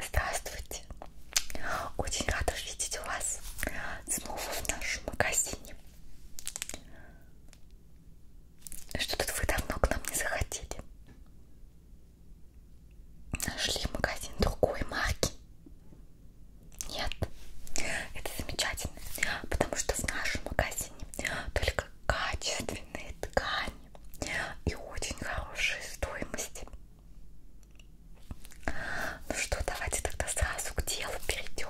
Здравствуйте! Очень рада видеть вас снова в нашем магазине. Что тут вы давно к нам не заходили? Нашли магазин другой марки? Нет. Это замечательно, потому что в нашем магазине только качественные ткани и очень хорошие стоимости. Ну что, давайте тогда сразу к делу перейдем.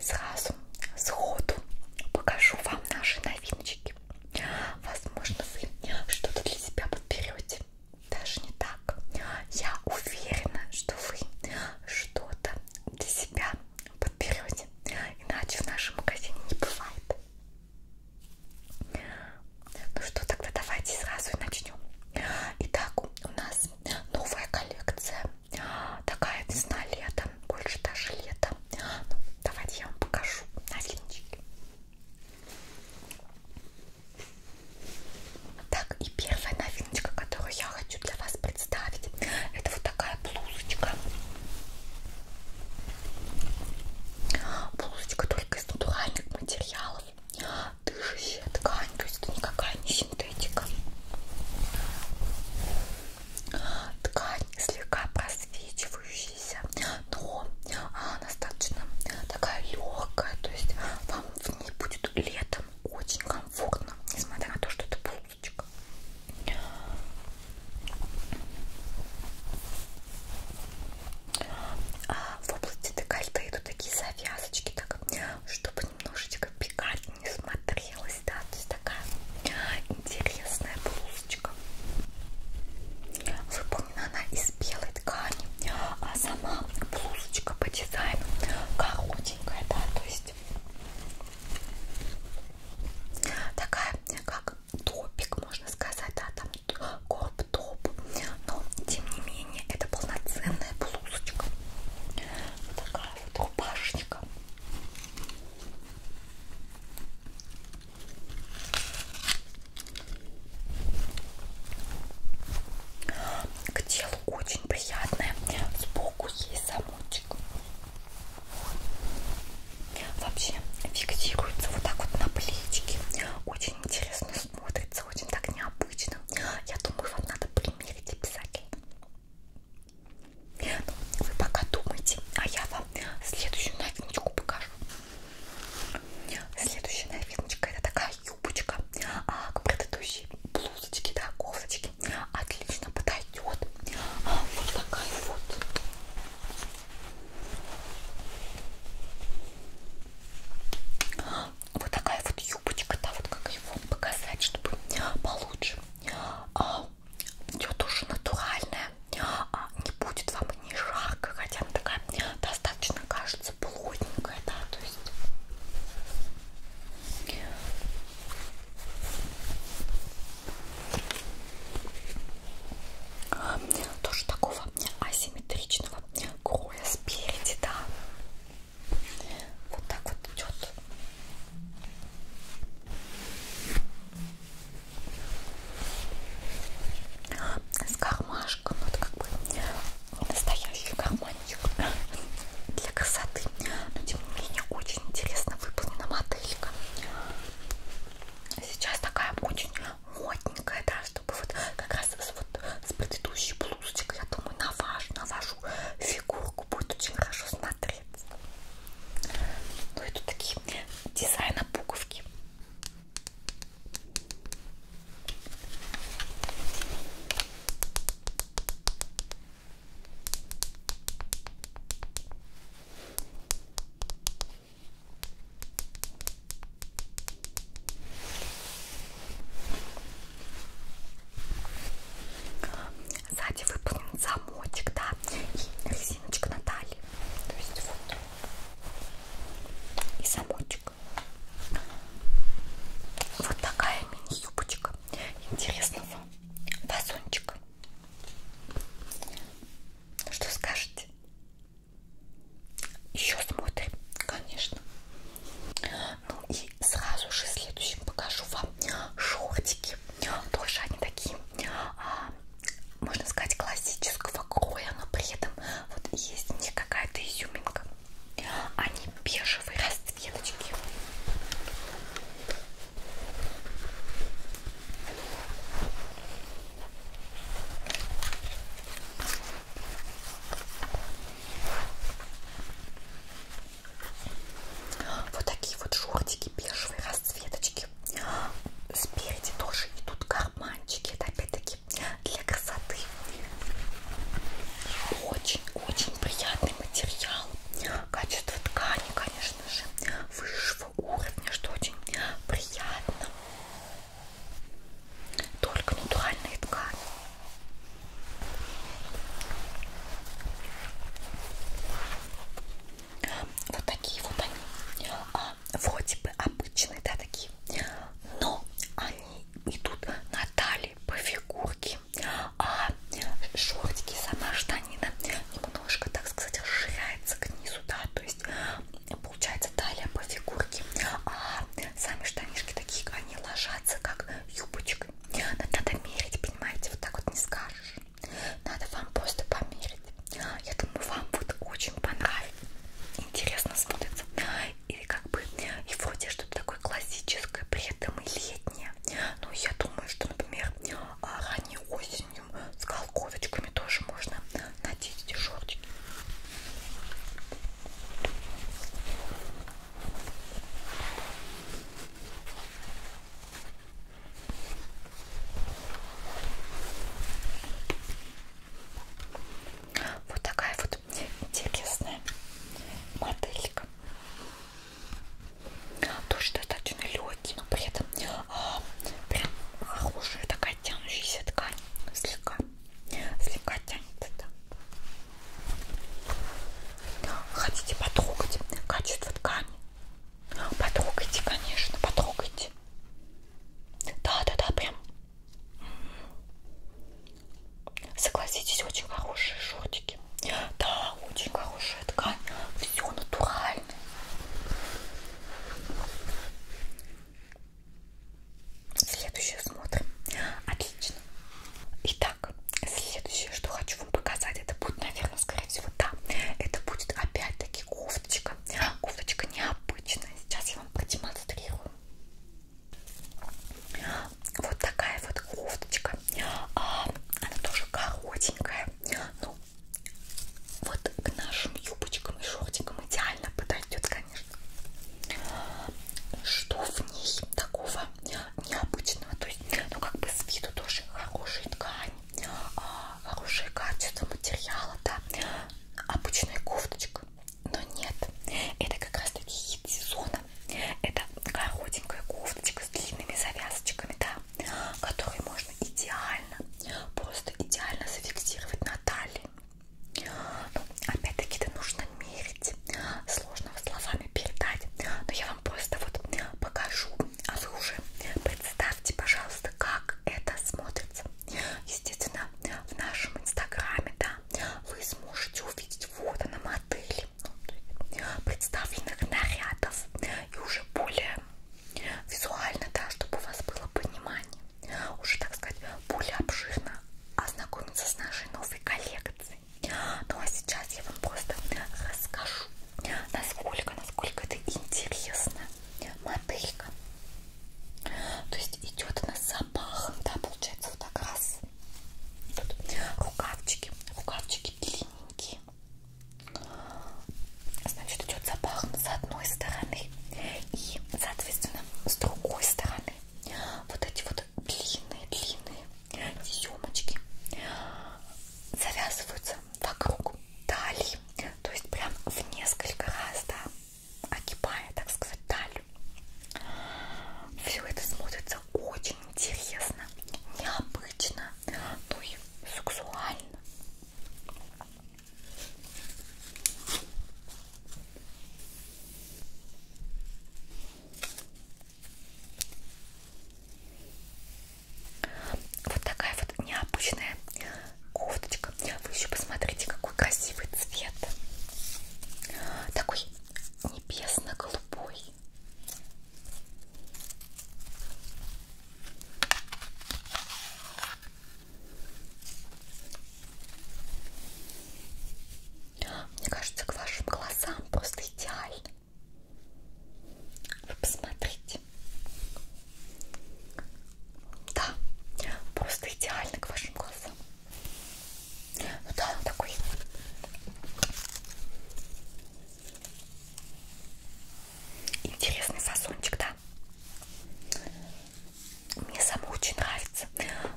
Сразу, сходу покажу вам наши новиночки. Возможно, вы что-то для себя подберете. Даже не так. Я уверена, что вы что-то для себя подберете. Иначе в нашем магазине не бывает. Ну что, тогда давайте сразу и начнем. Итак, у нас новая коллекция. Такая весна, лето, больше даже лето. Ну, давайте я вам покажу новиночки. Так, и первая новиночка, которую я хочу для вас представить, это вот такая блузочка. Блузочка только из натуральных материалов. Дышащая ткань, то есть это никакая не синтетика. Ткань слегка просвечивающаяся, но она достаточно такая легкая, то есть вам в ней будет летом очень комфортно, несмотря на то, что это блузочка. А в области декольте идут такие завязочки, так, чтобы немножечко пикантнее не смотрелось, да, то есть такая интересная блузочка. Выполнена она из белой ткани, а сама блузочка по дизайну коротенькая, да, то есть такая, как топик, можно сказать, да, там корп-топ, но тем не менее это полноценная блузочка, вот такая вот рубашечка. К телу очень приятная, сбоку есть замочек. Вообще фиксируется вот так вот на плечике. Очень интересно смотрится, очень так необычно. Я думаю, вам надо примерить обязательно. Ну, вы пока думайте, а я вам следующую новиночку покажу. Следующая новиночка это такая юбочка а, к предыдущей блузочке, да, кофточке. Отлично подойдет. А, вот такая вот. Вот такая вот юбочка, да, вот как ее вам показать, чтобы получше. А, ее тоже натуральная, а, не будет вам и не жарко, хотя она такая достаточно кажется плотненькая, да, то есть. Тоже такого асимметричного кроя спереди, да. Вот так вот идет. С кармашком, вот ну, как бы настоящий карманчик для красоты. Но тем не менее очень интересно выполнена моделька. Сейчас такая очень модненькая, да, чтобы вот как раз вот с предыдущей блузочкой, я думаю, на вашу, на вашу фигурку будет очень хорошо смотреться. Ну и тут такие дизайна пуговки. Сзади выполнен замочек, да, и резиночка на талии. То есть вот. И замочек. Вот такая мини-юбочка интересного фасончика. Что скажете? Еще смотрим, конечно. Ну и сразу же следующим покажу вам шортики. Тоже они такие, а, можно сказать, классического кроя, но при этом вот есть не какая-то изюминка. Они бежевые расцветочки. Вот такие вот шортики бежевые, расцветочки. Спереди тоже идут карманчики. Это опять-таки для красоты. Очень-очень приятный материал. Качество ткани, конечно конечно же, высшего уровня, что очень приятно. Только натуральные ткани. Вот такие вот они. А, вроде бы обычные, да, такие. Но они идут на талии по фигурке. А шортики сама штанина штанина немножко, так сказать, расширяется к низу, да, то есть э, получается талия по фигурке, а сами штанишки такие, они ложатся как юбочкой. Надо мерить, понимаете, вот так вот не скажешь. Надо вам просто померить. Я думаю, вам вот очень понравится. Интересно смотрится. И как бы, и вроде что-то такое классическое, при этом и летнее. Ну, я думаю, что, например, а, ранней осенью осенью с колковочками тоже можно надеть эти шортики. Вот такая вот интересная моделька тоже достаточно легкий, но при этом а, прям хорошая такая тянущаяся ткань, слегка, слегка тянется, да. Хотите потрогать качество ткани? Потрогайте, конечно, потрогайте. Да-да-да, прям. Согласитесь, очень хорошие шортики. Да, очень хорошая ткань. Все натурально руками. Следующее смотрим. Отлично. Итак, следующее, что хочу вам показать, это будет, наверное, скорее всего, да, это будет опять-таки кофточка. Кофточка необычная. Сейчас я вам продемонстрирую. Вот такая вот кофточка. А, она тоже коротенькая, но вот к нашим юбочкам и шортикам идеально подойдет, конечно. Что в ней такого необычного? То есть, ну как бы с виду тоже хорошая ткань, а, хорошее качество материала, да. Обычная кофточка, но нет. Это как раз таки хит сезона. Это коротенькая кофточка с длинными завязочками, да которые можно идеально, просто идеально зафиксировать на талии. Ну, опять-таки это нужно мерить, сложно словами передать, но я вам просто вот покажу, а вы уже представьте, пожалуйста, как это смотрится. Естественно, в нашем инстаграме, да, вы сможете увидеть фото на модели, ну, представленных нарядов и уже более Визуально, да, чтобы у вас было понимание. Уже, так сказать, более обширно ознакомиться с нашей новой коллекцией. Ну а сейчас я вам просто расскажу, насколько, насколько это интересно. Моделька. То есть идет она с запахом, да, получается вот так раз. Тут рукавчики, рукавчики длинненькие. Значит, идет запах с одной стороны и, соответственно, с другой стороны. Вот эти вот длинные-длинные съемочки завязываются вокруг талии, то есть прям в несколько раз, да, огибая, так сказать, талию. Все это смотрится очень интересно, необычно необычно, ну и сексуально. Вот такая вот необычная кофточка. Вы еще посмотрите, какой красивый цвет. Такой небесно-голубой. Мне кажется, к вашим глазам просто идеально. Вы посмотрите. Да, просто идеально к вашим глазам. Ну да, он такой Интересный фасончик, да? Мне само очень нравится.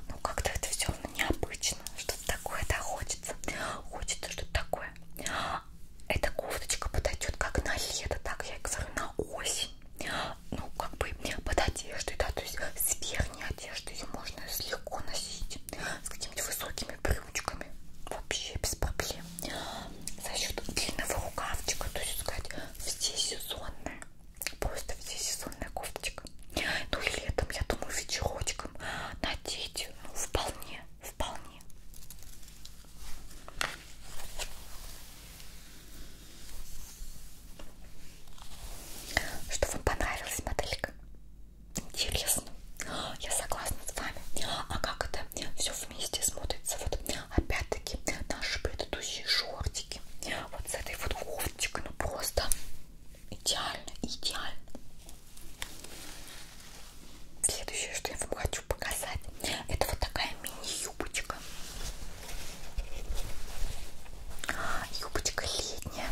Ну, как-то это все необычно. Что-то такое, да, хочется. Хочется что-то такое. Эта кофточка подойдет как на лето, так я говорю, на осень. Ну, как бы под одеждой, да, то есть с верхней одежды ее можно легко носить. С какими-то высокими брючками. Вообще без проблем форме за счет длинного рукавчика, то есть сказать, все сезонная, просто все сезонная кофточка. Ну и летом, я думаю, вечерочком надеть, ну вполне, вполне. Что вам понравилась моделька? Интересно. Я согласна с вами. А как это все вместе смотрится? Вот опять-таки наши предыдущие шортики. Вот с этой вот кофточкой. Ну просто идеально, идеально. Следующее, что я вам хочу показать, это вот такая мини-юбочка. Юбочка летняя,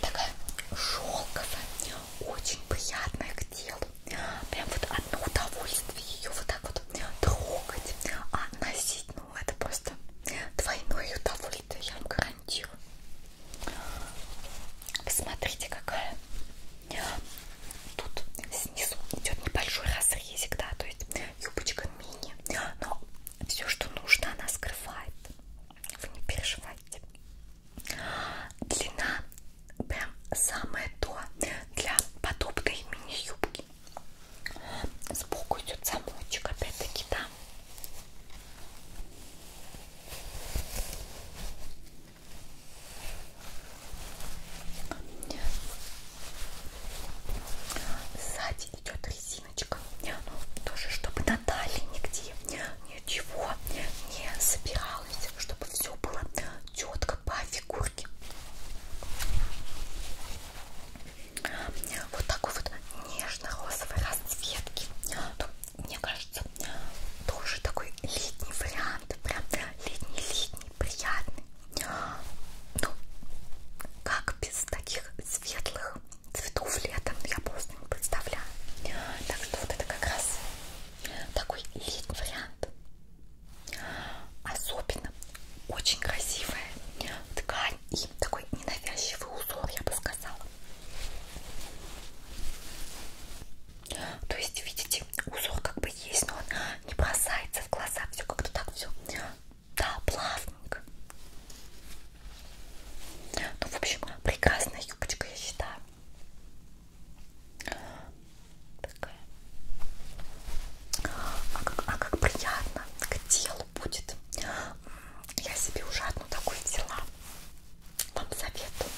такая шелковая, очень приятная к телу. Прям вот одно удовольствие ее вот так вот трогать, а носить, ну это просто двойное удовольствие, я вам гарантирую. Посмотрите, какая. Тут снизу идет небольшой разрезик, да, то есть юбочка мини, но все, что нужно, она скрывает. Вы не переживайте. Длина прям самое то для подобной мини-юбки. Сбоку идет замочек, опять-таки, да. Сзади идет резиночка, ну, тоже чтобы на талии нигде ничего не собиралась, чтобы все было четко по фигурке. Вот такой вот нежно-розовой расцветки. Мне кажется, тоже такой летний вариант. Прям летний-летний, приятный. Ну, как без таких светлых цветов летом, я просто не представляю. Так что вот это как раз такой летний вариант. Особенно очень красивая ткань и такой ненавязчивый узор, я бы сказала. То есть, видите, узор как бы есть, но он не бросается в глаза, все как-то так все. Да, плавненько. Ну, в общем, прекрасная юбочка, я считаю. Такая. А как, а как приятно к телу будет. Я себе уже одну такую взяла. Вам советую.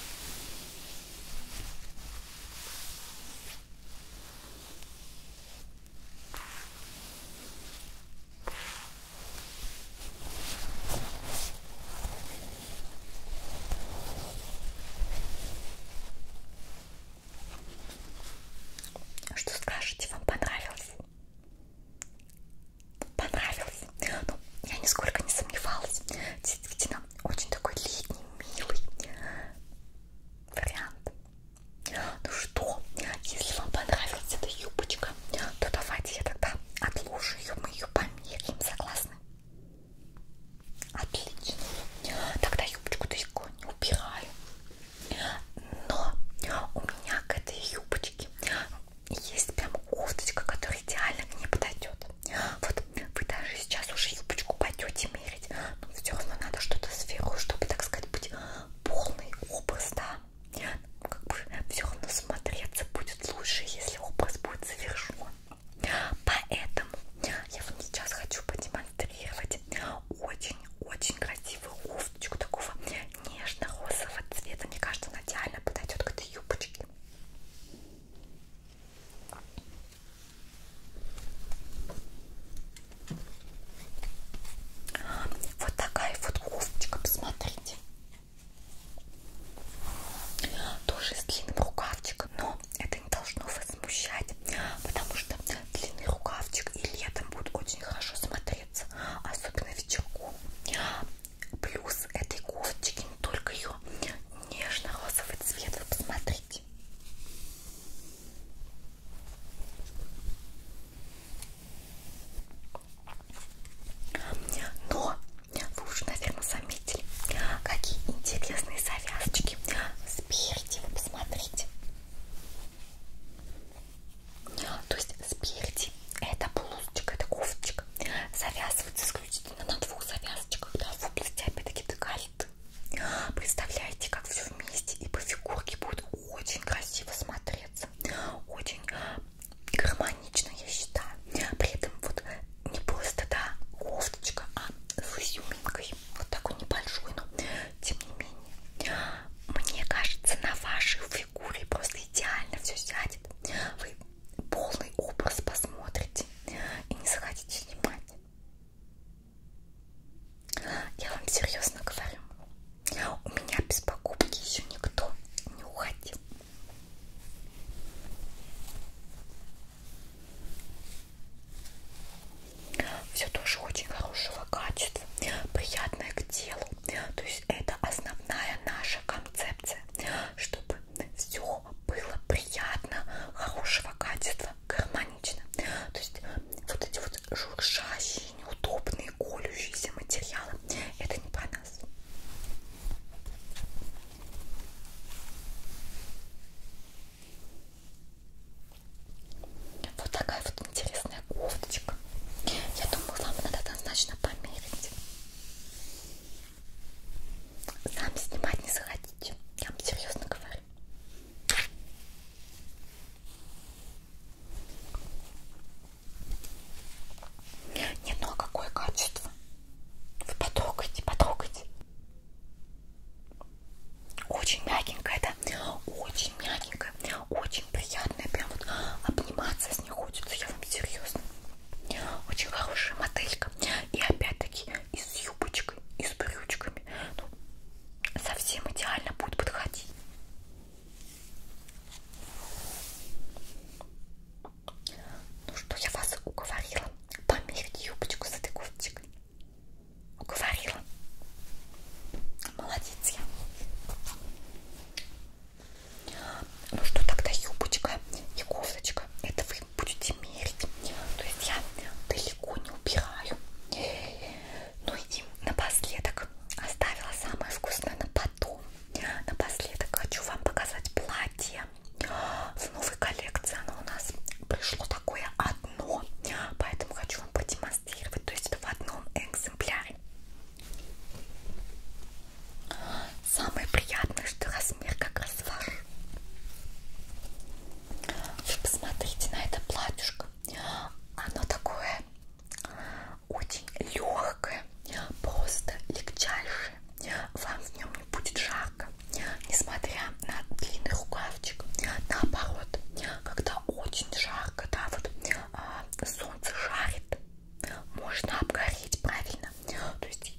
Что скажете, вам понравилось? Понравилось? Ну, я нисколько не сомневалась. Действительно, очень такой летний, милый вариант. Ну что, если вам понравилась эта юбочка, то давайте я тогда отложу ее, мы ее померяем, согласны? Отлично. Тогда юбочку-то не убираю. Но у меня к этой юбочке есть прям кофточка, которая идеально к ней подойдет. Вот вы даже сейчас уже юбочку пойдете мерить, но все равно надо что-то сверху, чтобы, так сказать, быть полный образ, да. Как бы все равно смотреться будет лучше, если образ будет совершен. Поэтому я вам сейчас хочу продемонстрировать очень-очень красивую кофточку такого нежно-розового цвета. Мне кажется, она идеально подойдет к этой юбочке. Вот такая вот кофточка, посмотрите. Тоже с длинным рукавчиком, но это не должно вас смущать, потому что длинный рукавчик и летом будет очень хорошо смотреться, особенно вечерком. Плюс этой кофточки не только ее нежно-розовый цвет, вы посмотрите. Но вы уже, наверное, заметили, какие интересные завязочки. Спереди, вы посмотрите. То есть спереди это блузочка, это кофточка. Завязывается исключительно на двух завязочках, да, в области опять-таки декольты. Представляете, как все вместе и по фигурке будет очень красиво смотреться. Очень гармонично, я считаю. При этом вот не просто, да, кофточка, а с изюминкой. Вот такой небольшой, но тем не менее. Мне кажется, на вашей фигуре просто идеально все сядет. Вы полный образ посмотрите и не захотите снимать. Я вам серьезно говорю, у меня без покупки еще никто не уходил. Все тоже очень хорошего качества, приятное к телу. То есть это основная наша концепция, чтобы все было приятно, хорошего качества, гармонично. То есть вот эти вот шуршащие, неудобные, колющиеся материалы, это не про для нас. Вот такая вот интересная кофточка. Я думаю, вам надо однозначно померить. Сами снимать не захотите. Я вам серьезно говорю. Не, ну а какое качество? Вы потрогайте, потрогайте. Очень мягенькая, да? Очень мягенькая, очень приятная. Прям вот обниматься с ней хочется, я вам серьезно. Очень хорошая моделька. И опять-таки и с юбочкой, и с брючками. Ну, совсем идеально будет подходить. Ну что, я вас уговорила померить юбочку с этой кофточкой. Уговорила. Молодец я. Ну что тогда юбочка и кофточка? Это вы будете мерить. То есть я далеко не убираю. Ну и напоследок оставила самое вкусное на потом напоследок хочу вам показать платье в новой коллекции. Оно у нас пришло такое одно, поэтому хочу вам продемонстрировать. То есть это в одном экземпляре. Самое приятное, что размер как раз ваш. Вы посмотрите на это платьишко. Оно такое очень легкое, просто легчайшее. Вам в нем не будет жарко, несмотря на длинный рукавчик. Наоборот, когда очень жарко, да, вот а, солнце жарит, можно обгореть правильно. То есть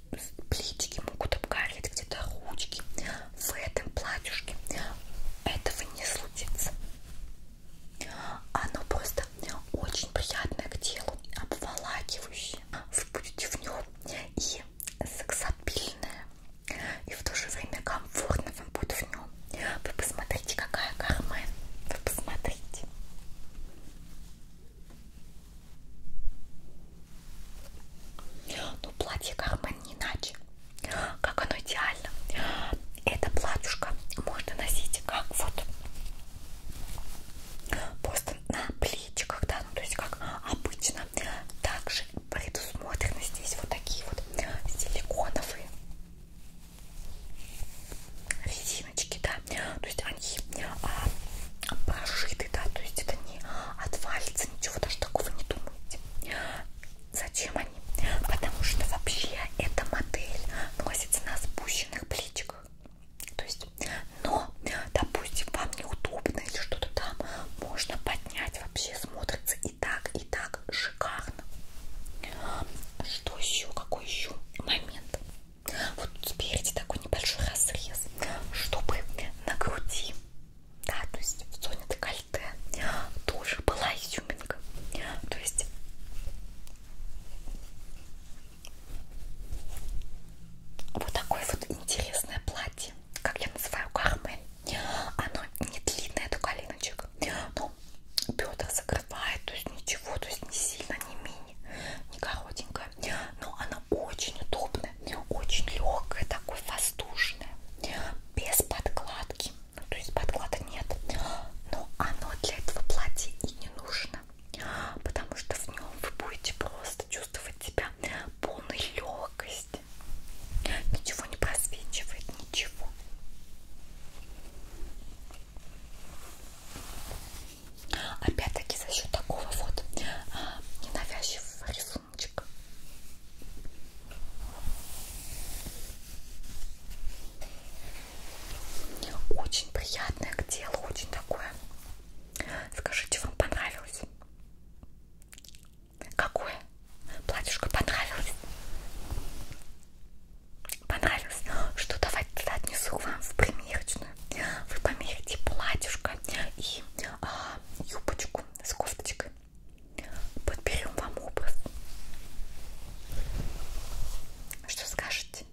плечики могут обгореть, где-то ручки. В этом платьюшке этого не случится. Оно просто очень приятное к телу, обволакивающее. Вы будете в нем и сексапильное, и в то же время комфортно вам будет в нем. Вы посмотрите, какая кармен. Вы посмотрите. Ну, платье кармен не иначе. Как оно идеально. Это платьюшко можно носить как вот просто на плечиках, да, ну то есть как обычно. Также предусмотрены здесь вот такие вот силиконовые резиночки, да, то есть они а, прошиты, да, то есть это не отвалится, ничего даже такого не думайте. Зачем они? Потому что вообще эта модель носится на спущенных плечиках. То есть, но, допустим, вам неудобно или что-то там, можно поднять, вообще смотрится и так, и так шикарно. Что еще? Какой еще момент? Вот спереди такой небольшой разрез, чтобы на груди, да, то есть в зоне декольте тоже была изюминка. То есть вот такое вот интересное платье, как я называю кармель. Оно не длинное до коленочек, но бедра закрывает, то есть ничего, то есть не сильно, не мини, не коротенькое. Но она очень удобная, очень легкая, такой воздушная, без подкладки. Ну, то есть подклада нет, но оно для этого платья и не нужно приятно, потому что в нем вы будете просто чувствовать себя полной легкости. Ничего не просвечивает, ничего. Опять-таки за счет такого вот а, ненавязчивого рисуночка. Очень приятное к телу, очень такое. Скажите, вам понравилось? Какое? Платьюшко понравилось? Понравилось? Что давайте отнесу вам в примерочную. Вы померите платьюшко и а, юбочку с кофточкой. Подберем вам образ. Что скажете?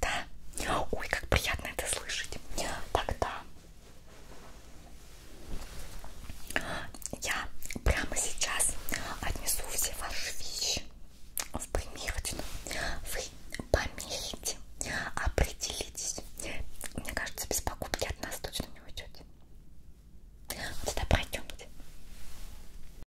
Да? Ой, как приятно это слышать. Тогда я прямо сейчас отнесу все ваши вещи в примерочную. Вы померите, определитесь. Мне кажется, без покупки от нас точно не уйдете. Вот это пройдемте.